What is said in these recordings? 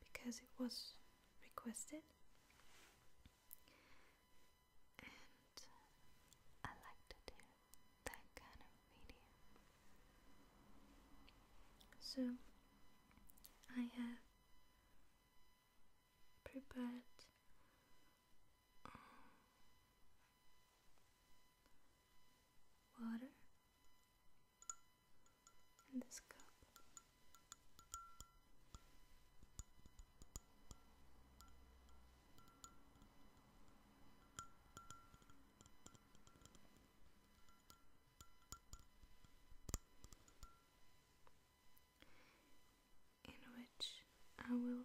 because it was requested, and I like to do that kind of video. So I have prepared. Um, water in this cup. In which I will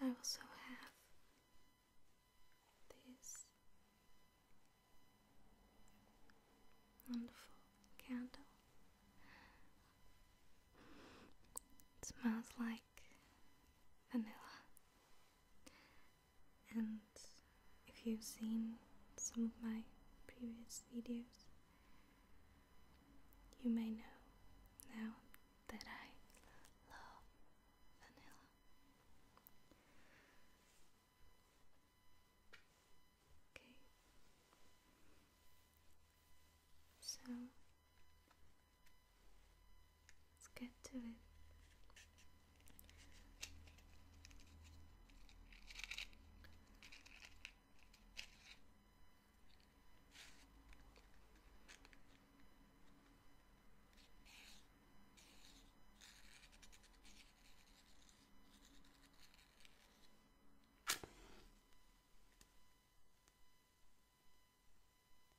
And I also have this wonderful candle. It smells like vanilla. And if you've seen some of my previous videos, you may know now that I love vanilla. Okay. So Let's get to it.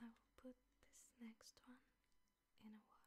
I will put this next one in a water.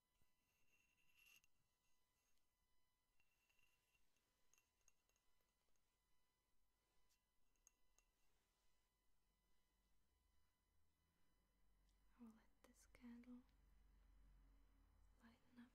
I'll let this candle lighten up.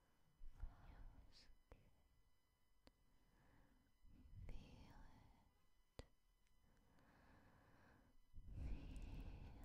feels Feel it. Feel warm, warm, warm. Everything's okay. Relax.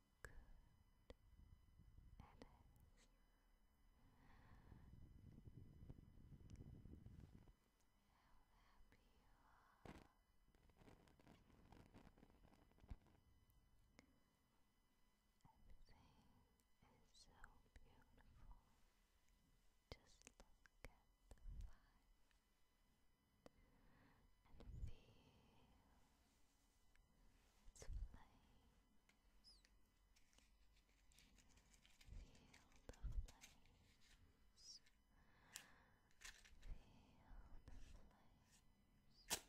good it is. How happy you are. Everything is so beautiful. Just look at the fire and feel its flames. Feel the flames. Feel the flames. Look, warm, fire, so beautiful,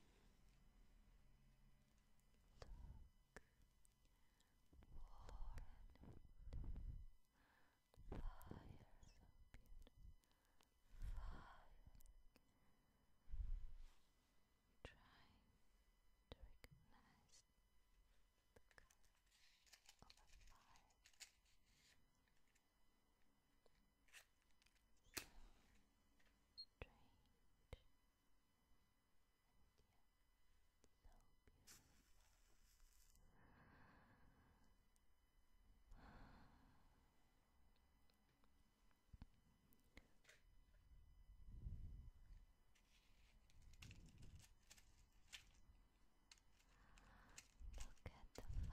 fire, trying to recognize the color of a fire. So strange and yet so beautiful. Look at the fire. You're so comfortable right now. Everything's fine.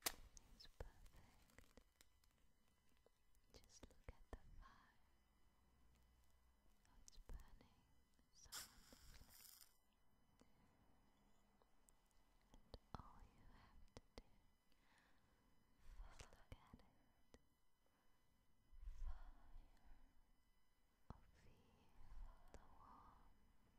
It's perfect. Just look at the fire. Oh, it's burning so wonderfully. And all you have to do is look at it. Fire. Or the warmth